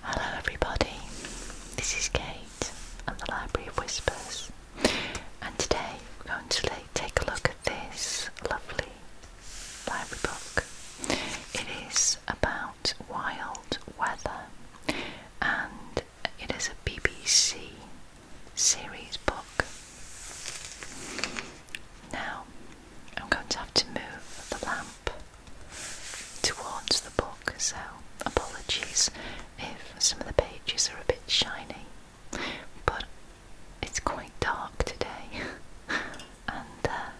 Hello, everybody. This is Kate. i the Library of Whispers, and today we're going to take a look at this lovely library book. It is about wild weather, and it is a BBC series book. Now I'm going to have to move the lamp towards the book, so apologies if some of the pages are a bit shiny, but it's quite dark today, and uh,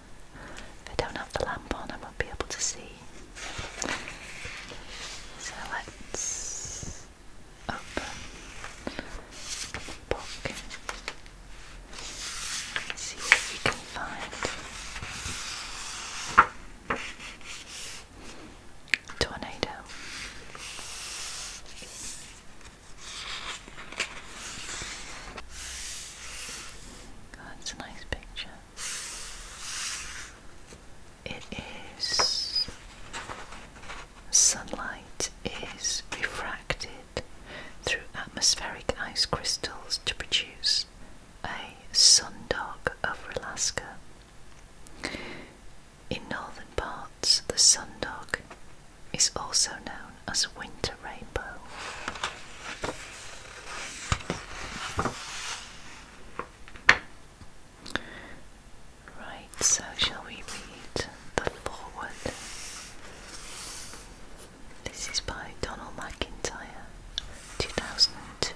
if I don't have the lamp on, I won't be able to see. So let's open the book see what we can find. Tornado. that's a nice picture. It is sunlight is refracted through atmospheric ice crystals to produce a sundog over Alaska. In northern parts, the sundog is also known as winter rainbow. Right, so shall we read the forward? This is by Donald McIntyre, 2002.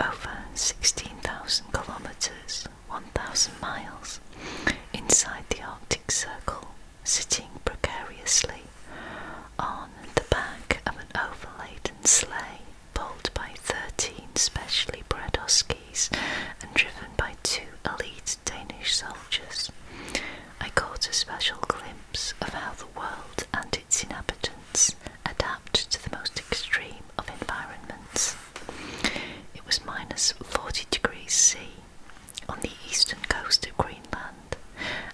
Over 16,000 kilometres, 1,000 miles, inside the Arctic Circle, sitting precariously on the back of an overladen sleigh pulled by 13 specially bred huskies and driven by two elite Danish soldiers, I caught a special glimpse of how the world and its inhabitants adapt to the most extreme of environments. It was minus 40 degrees C on the eastern coast of Greenland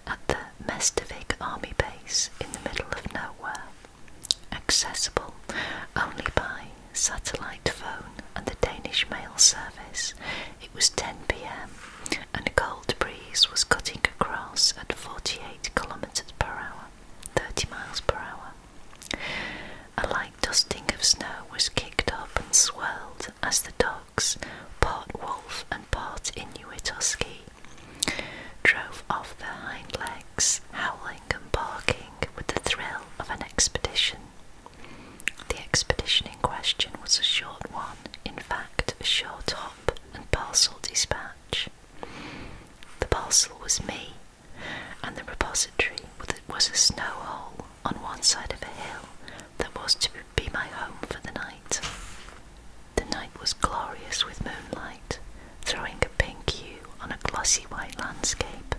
at the Mestavik army base in the middle of nowhere accessible only by satellite phone and the Danish mail service. It was 10 pm and a cold breeze was cutting across at 48 kilometers per hour, 30 miles per hour. A light dusting of snow was kicked up and swirled as the dogs, part wolf and part Inuit husky, drove off their hind legs, howling and barking with the thrill of an expedition. The expedition in question was a short one, in fact, a short hop and parcel dispatch. The parcel was me, and the repository was a snow hole on one side of a hill that was to be my home for the night. The night was glorious with moonlight throwing a pink hue on a glossy white landscape.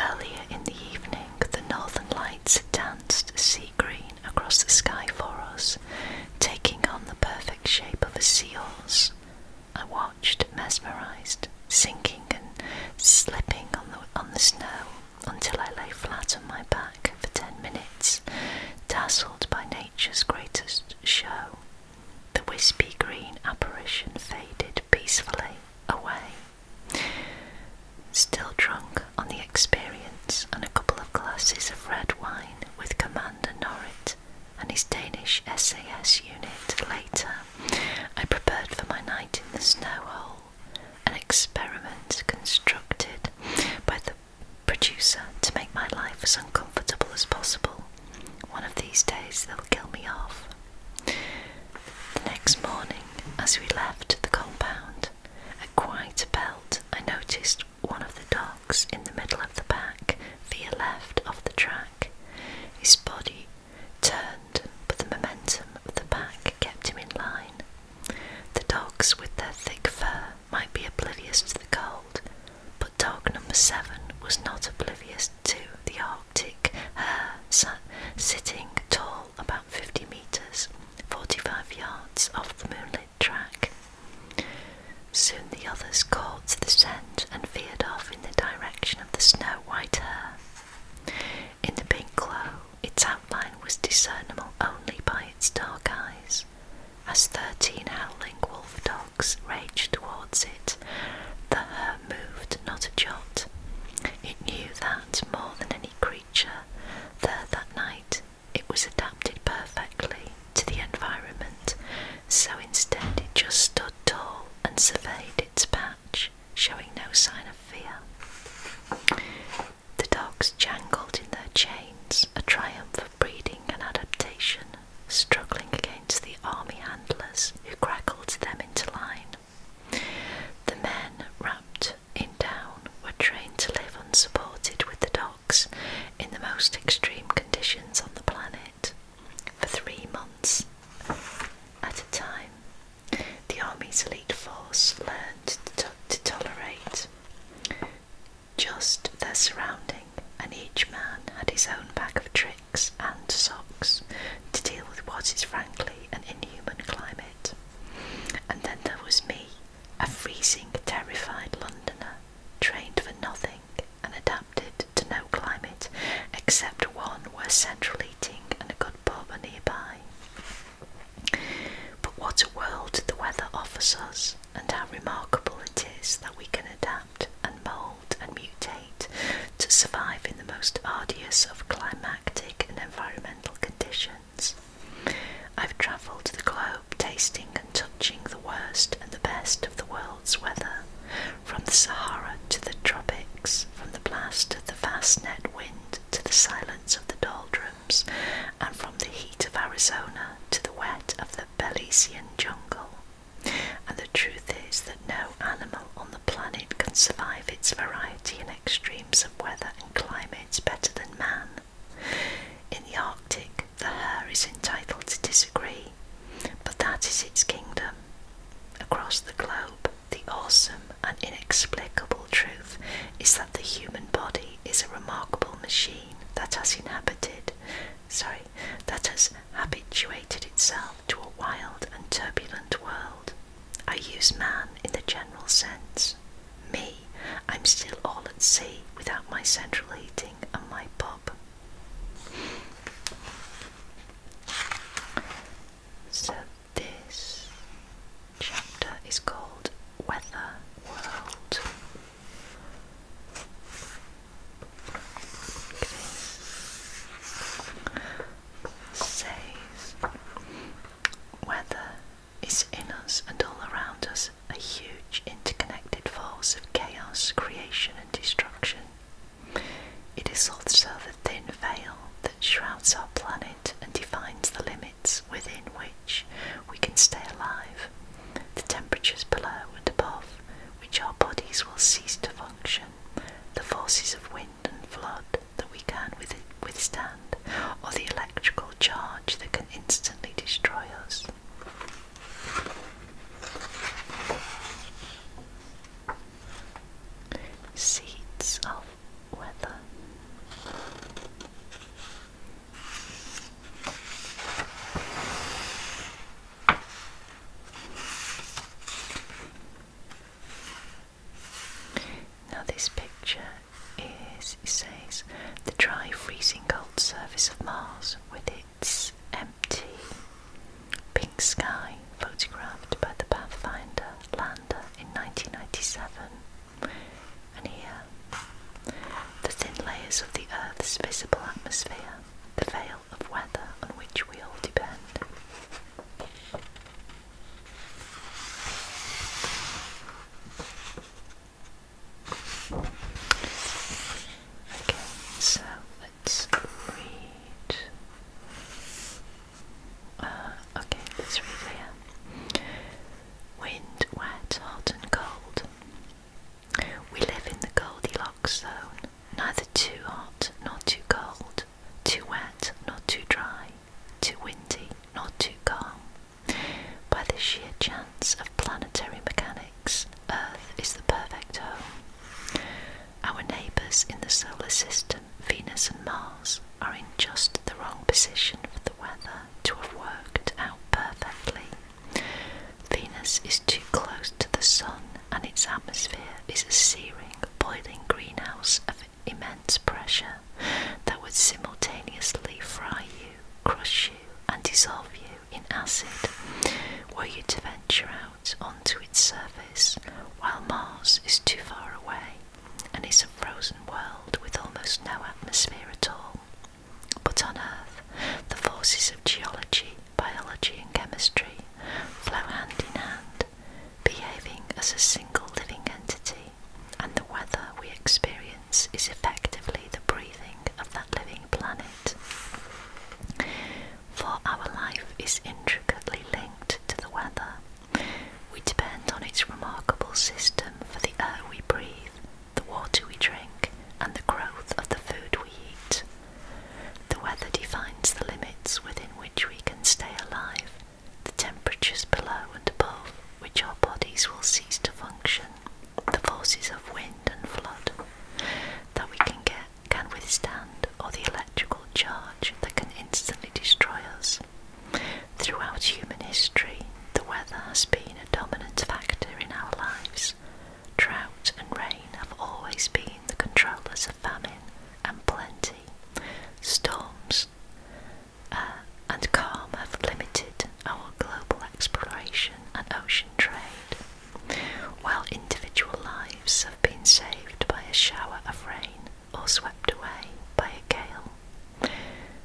Earlier in the evening, the northern lights had danced sea green across the sky for us, taking on the perfect shape of a seahorse. I watched, mesmerized, sinking and slipping on the, on the snow until I lay flat on my back for ten minutes, dazzled by nature's greatest show. The wispy green apparition faded peacefully away. Still drunk on the experience and a couple of glasses of red wine with Commander Norrit and his Danish SAS unit later, I prepared for my night in the snow hole, an experiment constructed by the producer to make my life as uncomfortable as possible. One of these days they'll kill me off. The next morning, as we left the compound, at quite belt, I noticed one of the dogs in the middle of the pack, veer left off the track. His body turned, but the momentum of the pack kept him in line. The dogs, with their thick fur, might be oblivious to the cold, but dog number seven was not oblivious to the Arctic hare sitting tall about 50 metres, 45 yards off the moonlit track. Soon the others caught the scent and veered off in the direction of the snow-white hare. In the pink glow, its outline was discernible only by its dark eyes, as thirteen howling wolf dogs dogs raged towards it. The her moved not a jot. It knew that more than any creature there that night it was adapted perfectly to the environment, so instead it just stood tall and surveyed its patch, showing no sign of fear. The dogs jangled in their chains, a triumph of breeding and adaptation struggling against the army handlers who crackled them into line. The men, wrapped in down, were trained to live unsupported with the dogs in the most extreme conditions on the planet for three months at a time. The army's elite force learned to, tolerate just their surrounding, and each man had his own bag of tricks and socks to deal with what is frankly an inhuman climate. And then there was me, a freezing, terrified Londoner, trained for nothing and adapted to no climate except one where central heating and a good pub are nearby. But what a world the weather offers us, and how remarkable it is that we can adapt and mould and mutate to survive in the most arduous of climatic and environmental conditions. I've travelled the globe tasting and touching the worst and the best of the world's weather, from the Sahara to the tropics, from the blast of the vast net wind to the silence of the doldrums, and from the heat of Arizona to the wet of the Belizean jungle. And the truth is that no animal on the planet can survive its variety and extremes of weather and climates better than man. In the Arctic, the hare is entitled to disagree, but that is its kingdom. Across the globe, the awesome and inexplicable truth is that the human body is a remarkable machine that has inhabited, sorry, that has habituated itself to a wild and turbulent world. I use man in the general sense. Me, I'm still all at sea without my central heating and my pub. So, this chapter is called Weather World says weather is in us and all around us a huge interconnected force of chaos, creation and destruction. It is also the thin veil that shrouds our planet and defines the limits within which we can stay alive. The temperatures below and above which our bodies will cease to function, the forces of wind and flood that we can withstand, or the electrical charge that can instantly destroy us. Seeds of weather. Now this picture is it says the dry freezing cold surface of Mars with its empty pink sky photographed by the Pathfinder lander in 1997 and here the thin layers of the Earth's visible atmosphere the veil of weather on which we all depend. Okay, so let's read. Uh, okay, let's read here. Wind, wet, hot, and cold. We live in the Goldilocks zone, neither too hot nor too cold, too wet nor too dry, too windy nor too calm. By the sheer chance of planetary mechanics, Earth is the perfect home. Our neighbours in the solar system, Venus and Mars, are in just the wrong position for the weather to have worked out perfectly. Venus is too close to the Sun, and its atmosphere is a searing, boiling greenhouse of immense pressure that would simultaneously fry you, crush you, and dissolve you in acid were you to venture out onto its surface, while Mars is too far away and is a frozen world with almost no atmosphere at all. But on Earth, the forces of geology, biology, and chemistry flow hand in hand, behaving as a single living entity, and the weather we experience is effectively the breathing of that living planet. For our life is intricately linked to the weather. We depend on its remarkable system for the air we breathe, the water we drink, and the growth of the food we eat. The weather defines the limits within which we can stay alive, the temperatures below and above which our bodies will cease to function, the forces of wind and flood that we can get can withstand, or the electrical charge that can instantly destroy us. Throughout human history, the weather has been a dominant factor in our lives drought and rain have always been the controllers of famine and plenty. Storms uh, and calm have limited our global exploration and ocean trade, while individual lives have been saved by a shower of rain or swept away by a gale.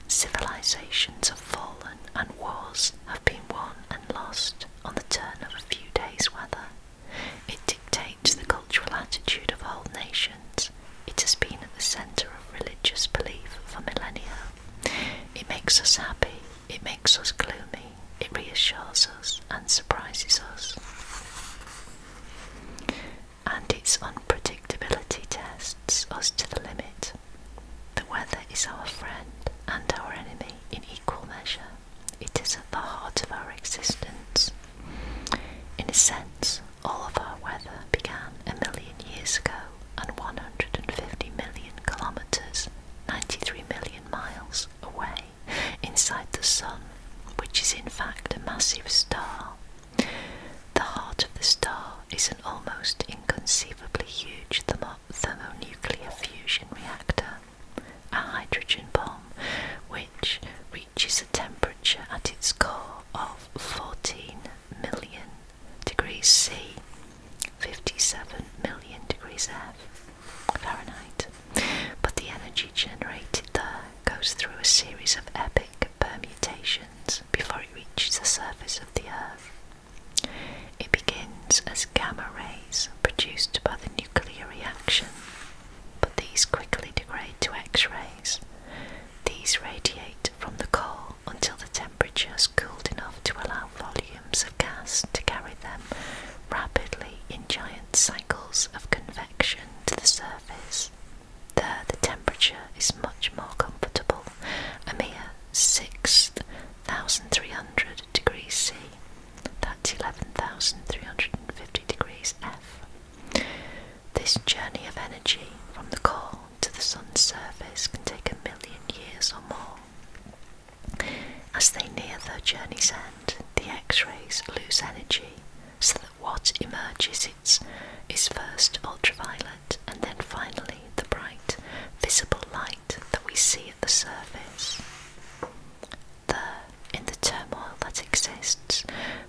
Civilizations have fallen and wars have been won and lost on the turn of a few days' weather. It dictates the cultural attitude of whole nations. It has been at the centre of religious belief for millennia. It makes us happy, it makes us gloomy, it reassures us and surprises us. And its unpredictability tests us to the limit. The weather is our friend and our enemy in equal measure. It is at the heart of our existence. In a sense, all of our weather began a million years ago, and 150 million kilometres, 93 million miles away, inside the Sun, which is in fact a massive star. The heart of the star is an almost inconceivably huge thermo thermonuclear fusion reactor, a hydrogen bomb which reaches a temperature at its core of 14 million degrees C, 57 million degrees F, Fahrenheit. But the energy generated there goes through a series of epic permutations before it reaches the surface of the Earth. It begins as gamma rays produced by the nuclear reaction, but these quickly degrade to X rays. These radiate from the core until the temperature is cooled enough to allow volumes of gas to carry them rapidly in giant cycles of convection to the surface. There, the temperature is much more comfortable, a mere sixth 1300 degrees C, that's 11,350 degrees F. This journey of energy from the core to the sun's surface can take a million years or more. As they near their journey's end, the X rays lose energy so that what emerges is, is first ultraviolet and then finally the bright visible light that we see at the surface. the in the turmoil that exists,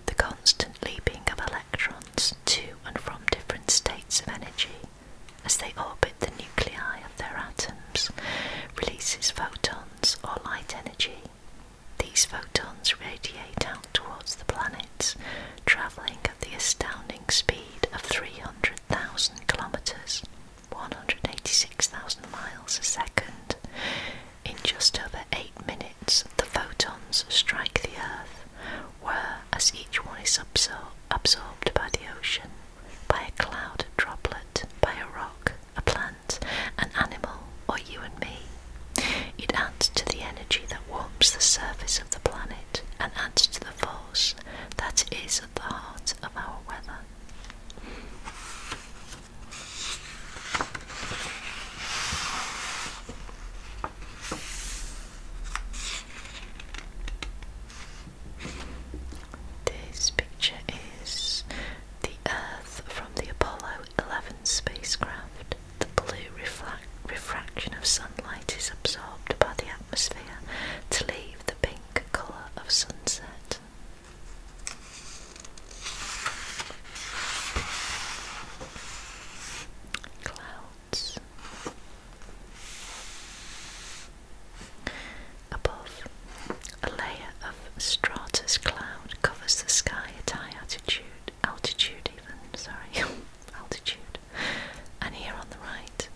the constant leaping of electrons to and from different states of energy as they orbit the nuclei of their atoms releases photons or light energy. These photons radiate out towards the planets, travelling at the astounding speed of 300,000 kilometres, 186,000 miles a second. In just over 8 minutes, the photons strike the Earth, where, as each one is absorbed by the ocean, by a cloud droplet, by a rock, a plant, an animal, or you and me, it adds to the energy that warms the surface of the planet and adds to the that is at the heart of our weather. This picture is the Earth from the Apollo 11 spacecraft. The blue refraction of sunlight is absorbed by the atmosphere to leave the pink colour of sunset. Clouds. Above, a layer of stratus cloud covers the sky at high altitude, altitude even, sorry. altitude, and here on the right,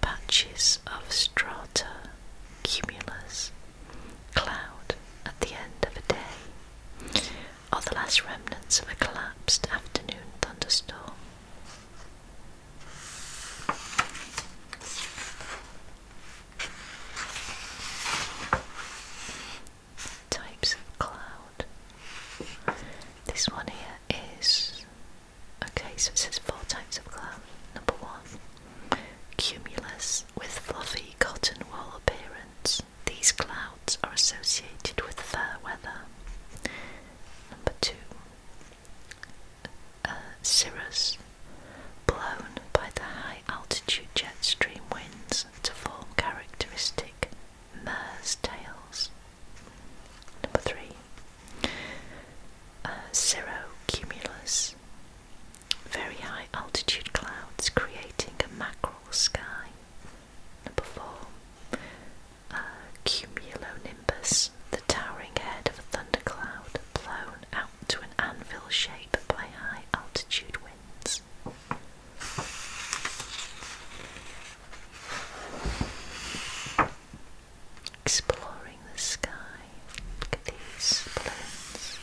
patches of strata cumulus cloud at the end of a day, are the last remnants of a collapsed afternoon thunderstorm. Types of cloud. This one here is Okay, so it says four types of clouds. Number one, cumulus with fluffy cotton wool appearance. These clouds are associated with fair weather. Number two, uh, cirrus, blown by the high altitude jet stream winds to form characteristic mares tails. Number three, cirro uh, cumulus, very high altitude clouds creating a mackerel sky. Number four, uh, cumulonimbus, the towering head of a thundercloud blown out to an anvil shape by high altitude winds. Exploring the sky. Look at these balloons.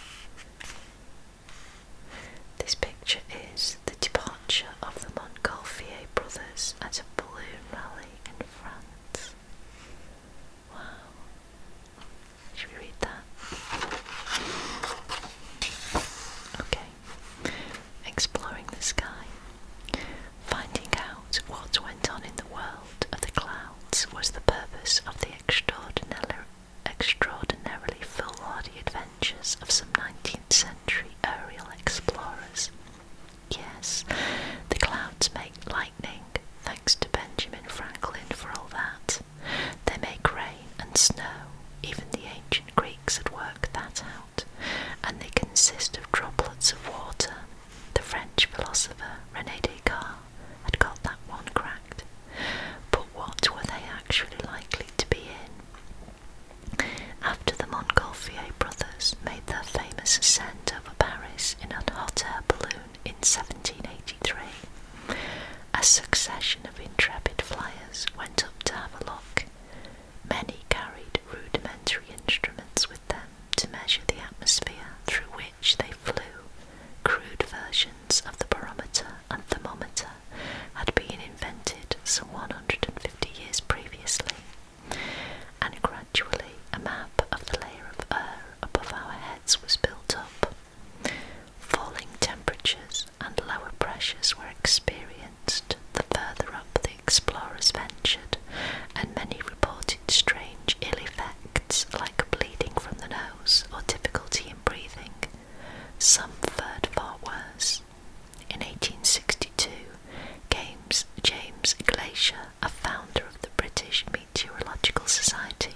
This picture is the departure of the Montgolfier brothers at a balloon rally in France. Wow. Should we read that? Okay exploring the sky. Finding out what went on in the world of the clouds was the purpose of the extraordinarily, extraordinarily foolhardy adventures of some 19th century aerial explorers. Yes, the clouds make lightning, thanks to Benjamin Franklin for all that. They make rain and snow, even the ancient Greeks had worked that out and they consist of droplets of water. The French philosopher René Descartes had got that one cracked, but what were they actually likely to be in? After the Montgolfier brothers made their famous ascent over Paris in a hot air balloon in 1783, a succession of intrepid flyers went up to have a look. Many carried rudimentary instruments with them to measure the atmosphere through which they flew. Crude versions of the barometer and thermometer had been invented some 150 years previously, and gradually a map of the layer of air above our heads was built up. Falling temperatures and lower pressures were experienced the further up the explorers ventured, and many reported strange ill effects like bleeding from the nose or difficulty in breathing. Some fared far worse. In 1862, James, James Glacier, a founder of the British Meteorological Society,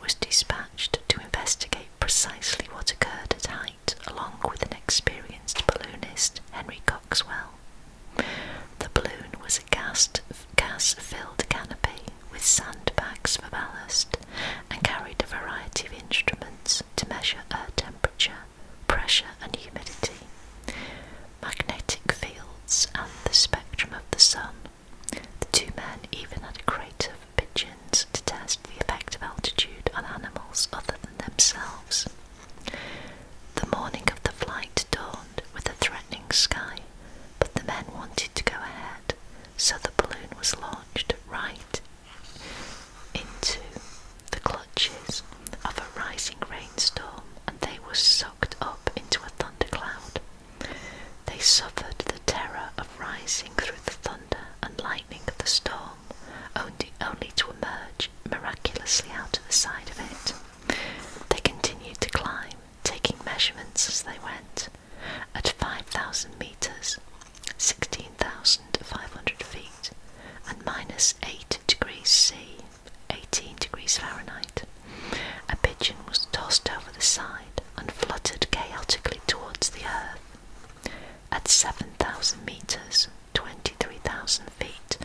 was dispatched to investigate precisely what occurred at high along with an experienced balloonist, Henry Coxwell. The balloon was a gas filled canopy with sandbags for ballast and carried a variety of instruments to measure air temperature, pressure, and humidity, magnetic fields, and the spectrum of the sun. The two men even had a crate of pigeons to test the effect of altitude on animals other themselves. The morning of the flight dawned with a threatening sky, but the men wanted to go ahead, so the balloon was launched right into the clutches of a rising rainstorm and they were sucked up into a thundercloud. They suffered the terror of rising through the thunder and lightning of the storm only to emerge miraculously out of the side of it. They continued to climb, taking measurements as they went. At 5,000 metres, 16,500 feet, and minus 8 degrees C, 18 degrees Fahrenheit, a pigeon was tossed over the side and fluttered chaotically towards the earth. At 7,000 metres, 23,000 feet,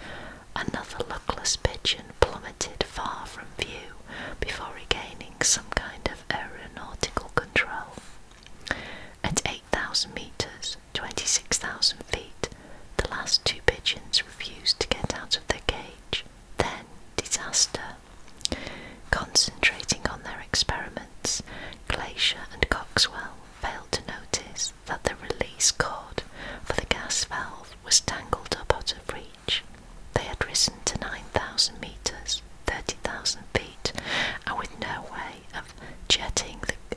another luckless pigeon plummeted far from view before regaining some kind of aeronautical control. At 8,000 metres, 26,000 feet, the last two pigeons refused to get out of their cage. Then, disaster. Concentrating on their experiments, Glacier and Coxwell failed to notice that the release cord for the gas valve was tangled up out of reach. They had risen to 9,000 metres, 30,000 feet, and with no way of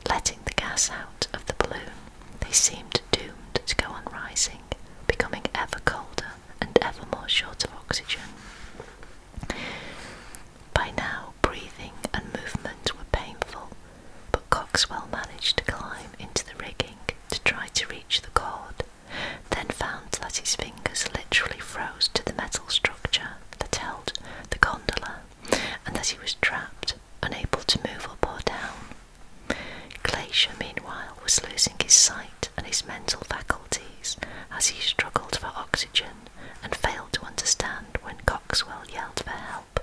letting the gas out of the balloon, they seemed doomed to go on rising, becoming ever colder and ever more short of oxygen. By now, breathing and movement were painful, but Coxwell managed to climb into the rigging to try to reach the cord, then found that his fingers literally froze to the metal structure that held the gondola and that he was trapped, unable to move up or down. Glacier, meanwhile, was losing his sight and his mental faculties as he struggled for oxygen and failed to understand when Coxwell yelled for help.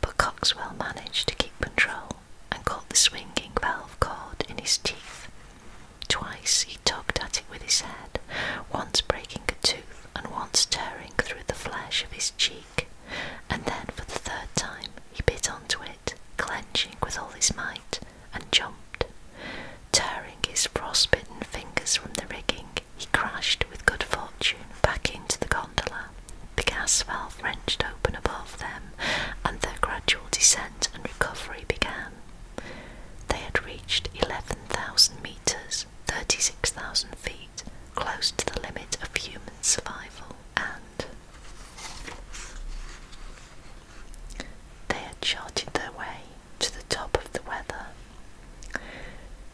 But Coxwell managed to keep control and caught the swinging valve cord in his teeth. Twice he tugged at it with his head, once breaking a tooth and once tearing through the flesh of his cheek, and then for the third time he bit onto it, clenching with all his might, and jumped, tearing his frostbitten fingers from the rigging he crashed with good fortune back into the gondola. The gas valve wrenched open above them, and their gradual descent and recovery began. They had reached 11,000 metres, 36,000 feet, close to the limit of human survival, and they had charted their way to the top of the weather.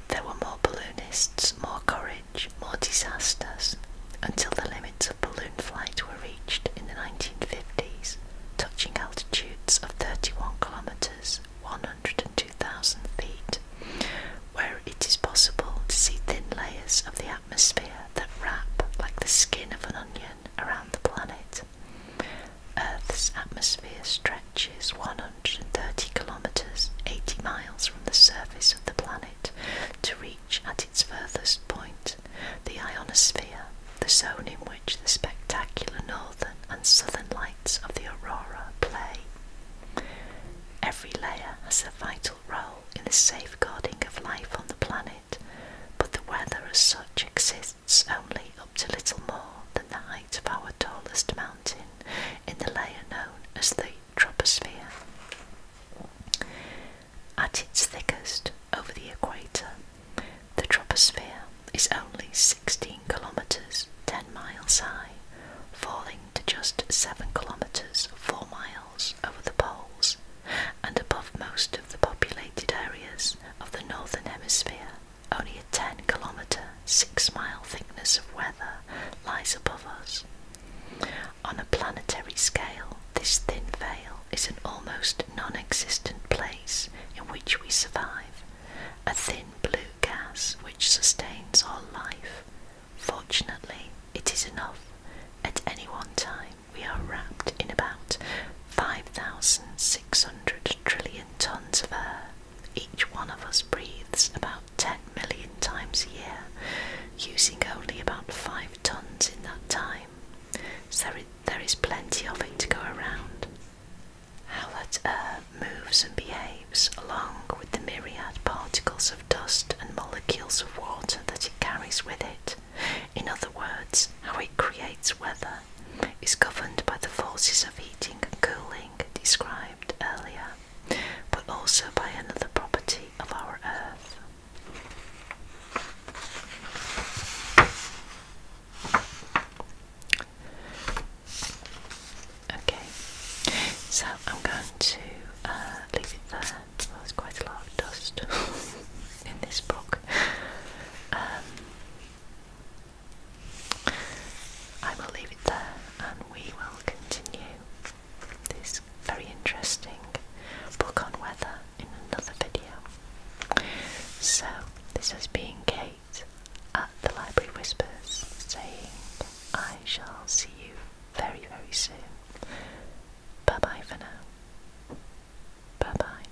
There were more balloonists, more courage, more disasters, until the limits of balloon flight were reached in the 1950s, touching altitudes of 31 kilometres, 102,000 feet, where it is possible to see thin layers of the atmosphere that wrap like the skin of an onion around the planet. Earth's atmosphere stretches 130 kilometers, 80 miles from the surface of the planet, to reach at its furthest point the ionosphere, the zone in which the spectacular northern and southern lights of the aurora play. Every layer has a vital role in the safeguarding of life on the planet, but the weather as such exists only up to little more than the height of our tallest mountain in the layer known as the troposphere. At its thickest, over the equator, the troposphere is only 16 kilometres 10 miles high, falling to just 7 kilometres 4 miles over the poles and above most of the populated areas of the northern hemisphere. Only a 10 kilometre, 6 mile thickness of weather lies above us. On a planetary scale, this thin veil is an almost non existent place in which we survive, a thin blue gas which sustains our life. Fortunately, it is enough. At any one time, we are wrapped in about 5,600 trillion tons of air. Each one of us breathes about 10 million times a year, using only about 5 tons in that time. So there is plenty of it to go around. How that air moves and behaves, along with the myriad particles of dust and molecules of water that it carries with it. In other words, how it creates weather is governed by the forces of heating and cooling described earlier, but also by another property of our Earth. Okay, so I'm going to uh, leave it there. there's quite a lot of dust in this book. Um, I will leave it there and we will continue this very interesting book on weather in another video. So, this has been Kate at the Library Whispers saying, I shall see you very, very soon. Bye bye for now. Bye bye.